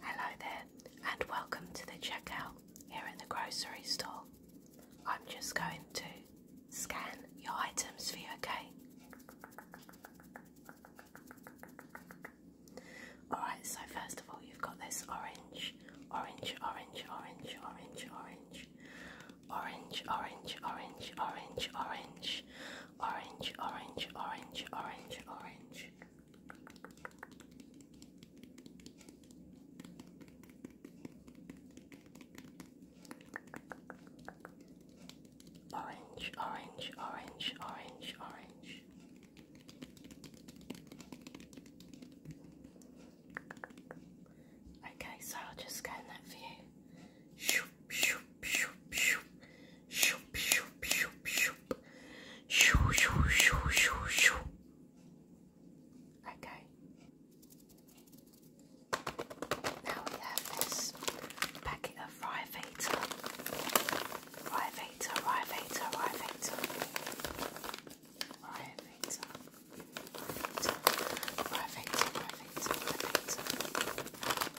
Hello there, and welcome to the checkout here in the grocery store. I'm just going to scan your items for you, okay? Alright, so first of all, you've got this orange, orange, orange, orange, orange, orange, orange, orange, orange, orange, orange, orange, orange, orange, orange, orange. Orange, orange, orange, orange, orange. Okay, so I'll just scan that for you. Okay. Now we have this packet of Rivator. Rivator, Rivator, Rivator. Rivator. Rivator, Rivator, Rivator.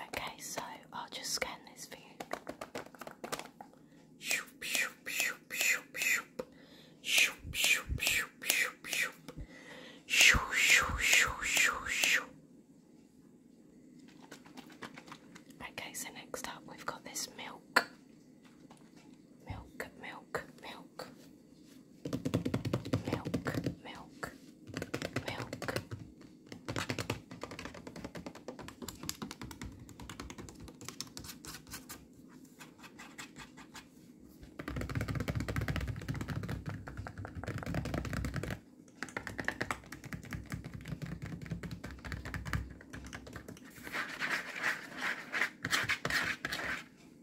Okay, so I'll just scan this for you. Shoop, shoop, shoop, shoop, shoop. Shoop, shoop, shoop, shoop, shoop. Shoo, shoo, shoo, shoo, shoo. Okay, so next up we've got this milk. Milk, milk, milk milk, milk, milk,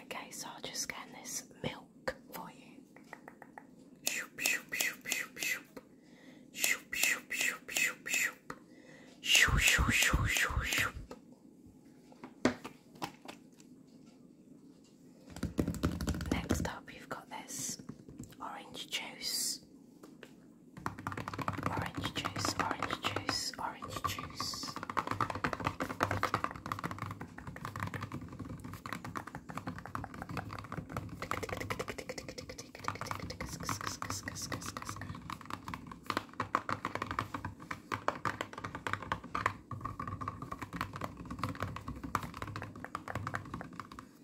Okay, so I'll just scan this milk for you. Shoop, shoop, shoop, shoop, shoop. Shoop, shoop, shoop, shoop, shoop. Shoop, shoop, shoop, shoop, shoop. Next up, you've got this orange juice. Orange juice, orange juice, orange juice.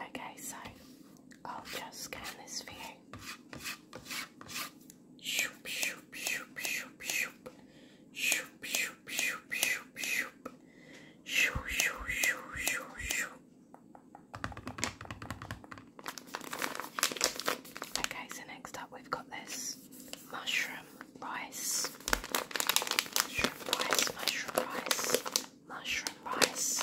Okay, so I'll just scan this for Okay, so next up we've got this mushroom rice. Mushroom rice, mushroom rice mushroom rice.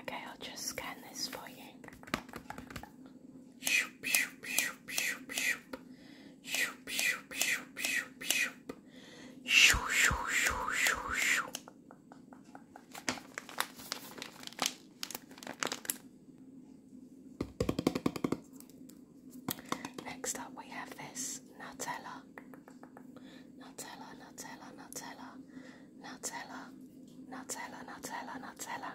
Okay, I'll just scan this for you. Shoop, shoop, shoop, shoop, shoop. Shoop, shoop, shoop, shoop, shoop. Shoo, shoo, shoo, shoo, shoo. Next up, we have this Nutella. Nutella, Nutella, Nutella. Nutella, Nutella, Nutella, Nutella.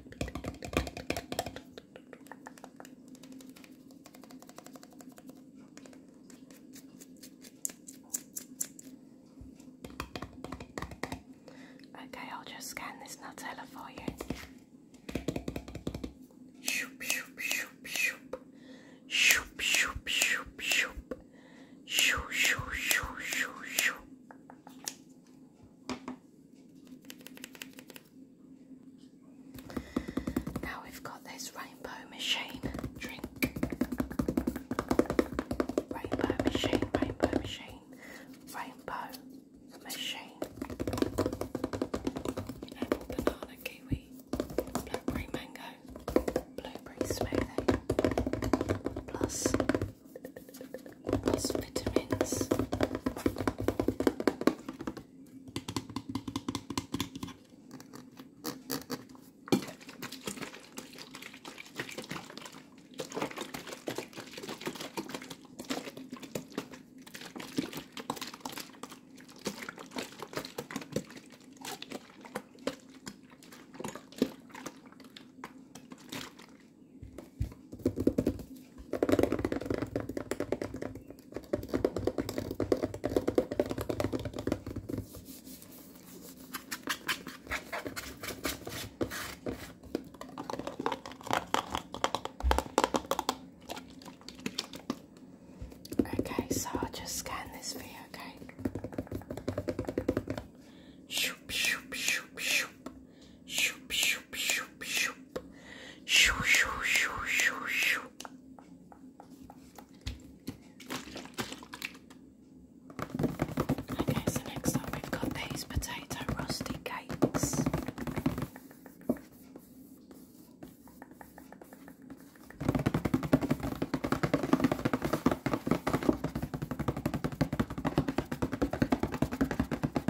Okay, I'll just scan this Nutella for you. Shoop, shoop, shoop, shoop. Shoop, shoop, shoop, shoop. Shoo, shoo, shoo, shoo, shoo. Now we've got this rainbow machine drink. Rainbow machine, rainbow machine, rainbow machine. banana, kiwi, blackberry, mango, blueberry smoothie, plus these vitamins. Okay, so I'll just scan this for you, okay? Shoop, shoop, shoop, shoop. Shoop, shoop, shoop, shoop. Shoo, shoo, shoo, shoo, shoo. Okay, so next up we've got these potato rusty cakes.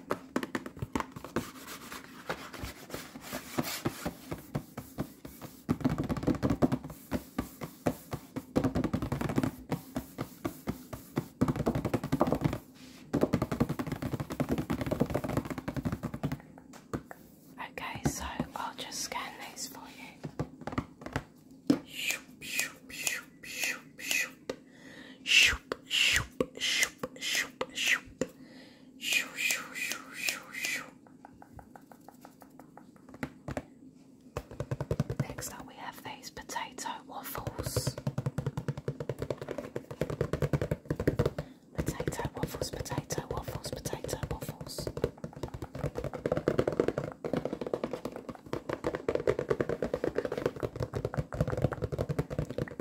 Okay, so I'll just scan these for you. Shoo, shoo, shoo, shoo, shoo. Next up, we have these potato waffles. Potato waffles, potato waffles, potato waffles.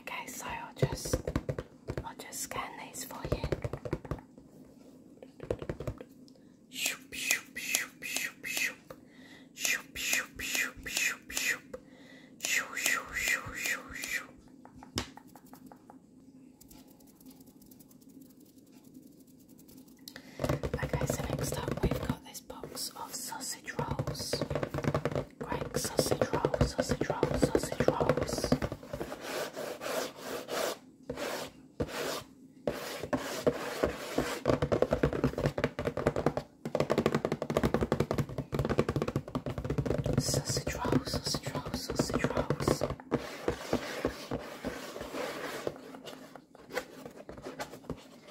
Okay, so I'll just I'll just scan these for you. Okay, so next up we've got this box of sausage rolls. Greg sausage rolls, sausage rolls, sausage rolls. Sausage rolls, sausage rolls, sausage rolls.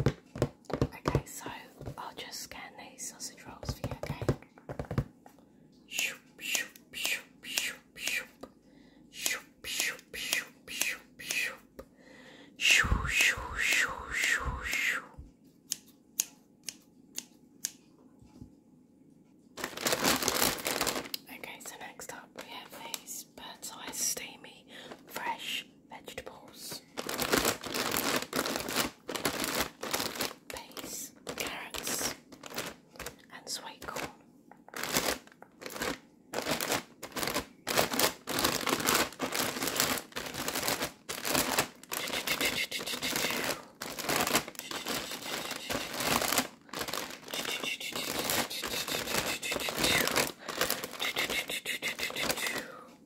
Okay, so I'll just scan these sausage rolls for you, okay? Okay, so next up we have these bird's eye steamy fresh vegetables, peas, carrots, and sweet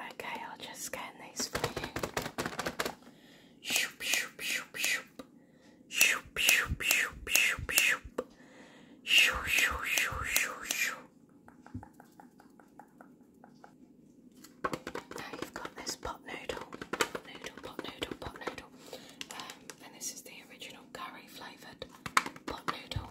Okay, I'll just scan these for you. Shoop, shoop, shoop, shoop. Shoop, shoop, shoop, shoop, shoop. Shoo, shoo, shoo, shoo, shoo. Now you've got this pot noodle. Pot noodle, pot noodle, pot noodle. Um, and this is the original curry flavoured pot noodle.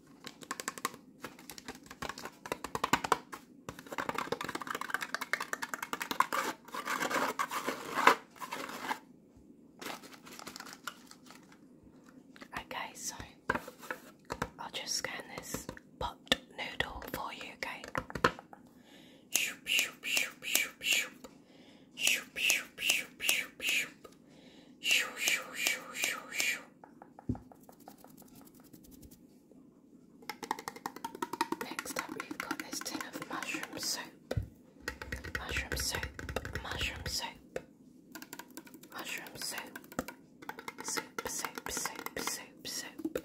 Okay, so I'll just scan this pot noodle for you, okay? Next up, we've got this tin of mushroom soap. Mushroom soap, mushroom soap, mushroom soap, Soup. Soup. Soup. soap, soap.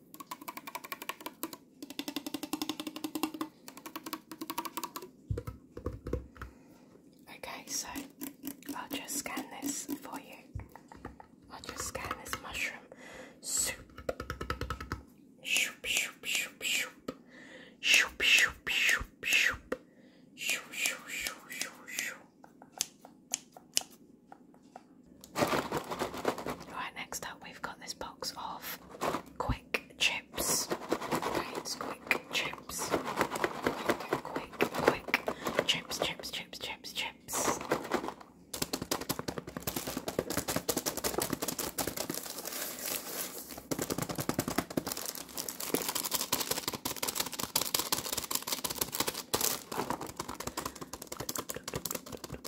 Okay, so I'll just scan this for you. I'll just scan this mushroom soup. Shoop, shoop, shoop, shoop. Shoop, shoop, shoop, shoop. Shoop, shoop, shoop, shoop, shoop. Right, next up we've got this box of quick chips. it's quick chips. Quick, quick chips, chips, chips, chips, chips.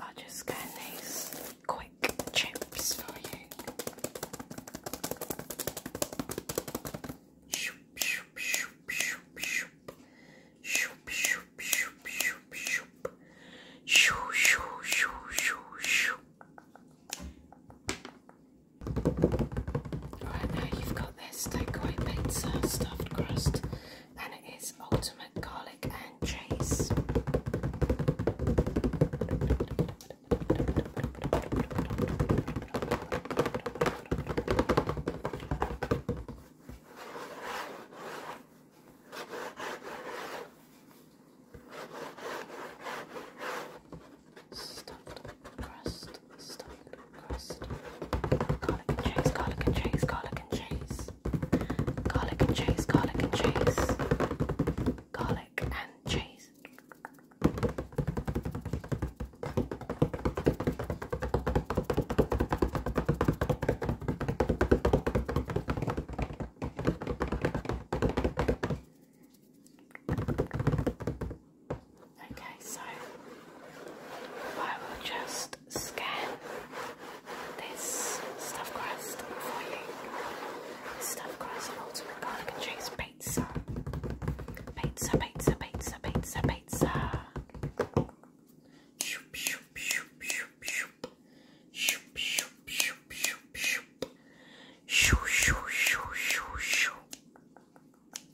I'll just scan these quick chips for you. Shoop, shoop, shoop, shoop, shoop. Shoop, shoop, shoop, shoop, shoop. Shoo, shoo, shoo, shoo, shoo. Right now you've got this takeaway pizza uh, stuffed crust, and it is ultimate garlic and cheese. Stuffed crust, stuffed crust, garlic and cheese, garlic and cheese, garlic and cheese, garlic and cheese, garlic and cheese, garlic and cheese. Okay, so I will just scan this stuffed crust for you. This stuffed crust and ultimate garlic and cheese pizza. Pizza, pizza, pizza, pizza, pizza. Shoop, shoop, shoop, shoop, shoop. Shoop, shoop, shoop, shoop, shoop. Shoo, shoo, shoo, shoo, shoo.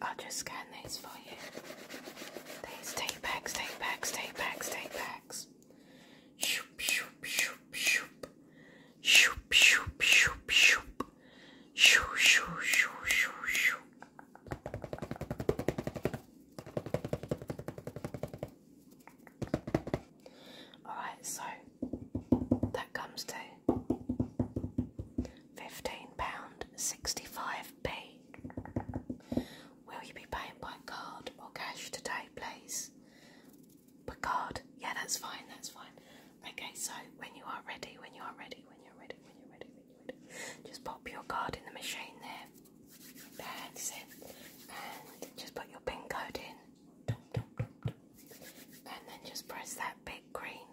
I'll just scan these for you. These take backs, take backs, take backs, take this. Shoop, shoop, shoop, shoop. Shoop, shoop, shoop, shoop. Shoo, shoo, shoo, Alright, so that comes to £15.65p. Will you be paying by card or cash today, please? By card? Yeah, that's fine, that's fine. Okay, so when you are ready, when you are ready, when you're ready, when you're ready, when you're ready, just pop your card in the machine there. That's it. And just put your PIN code in. And then just press that big green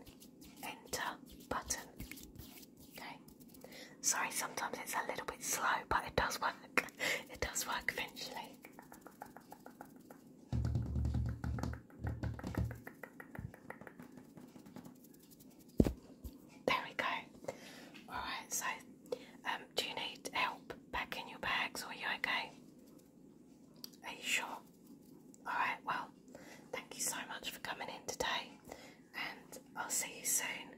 enter button. Okay. Sorry, sometimes it's a little bit slow, but it does work. It does work eventually. There we go. Alright, so um, do you need help packing your bags or are you okay? Are you sure? Alright, well, thank you so much for coming in today and I'll see you soon.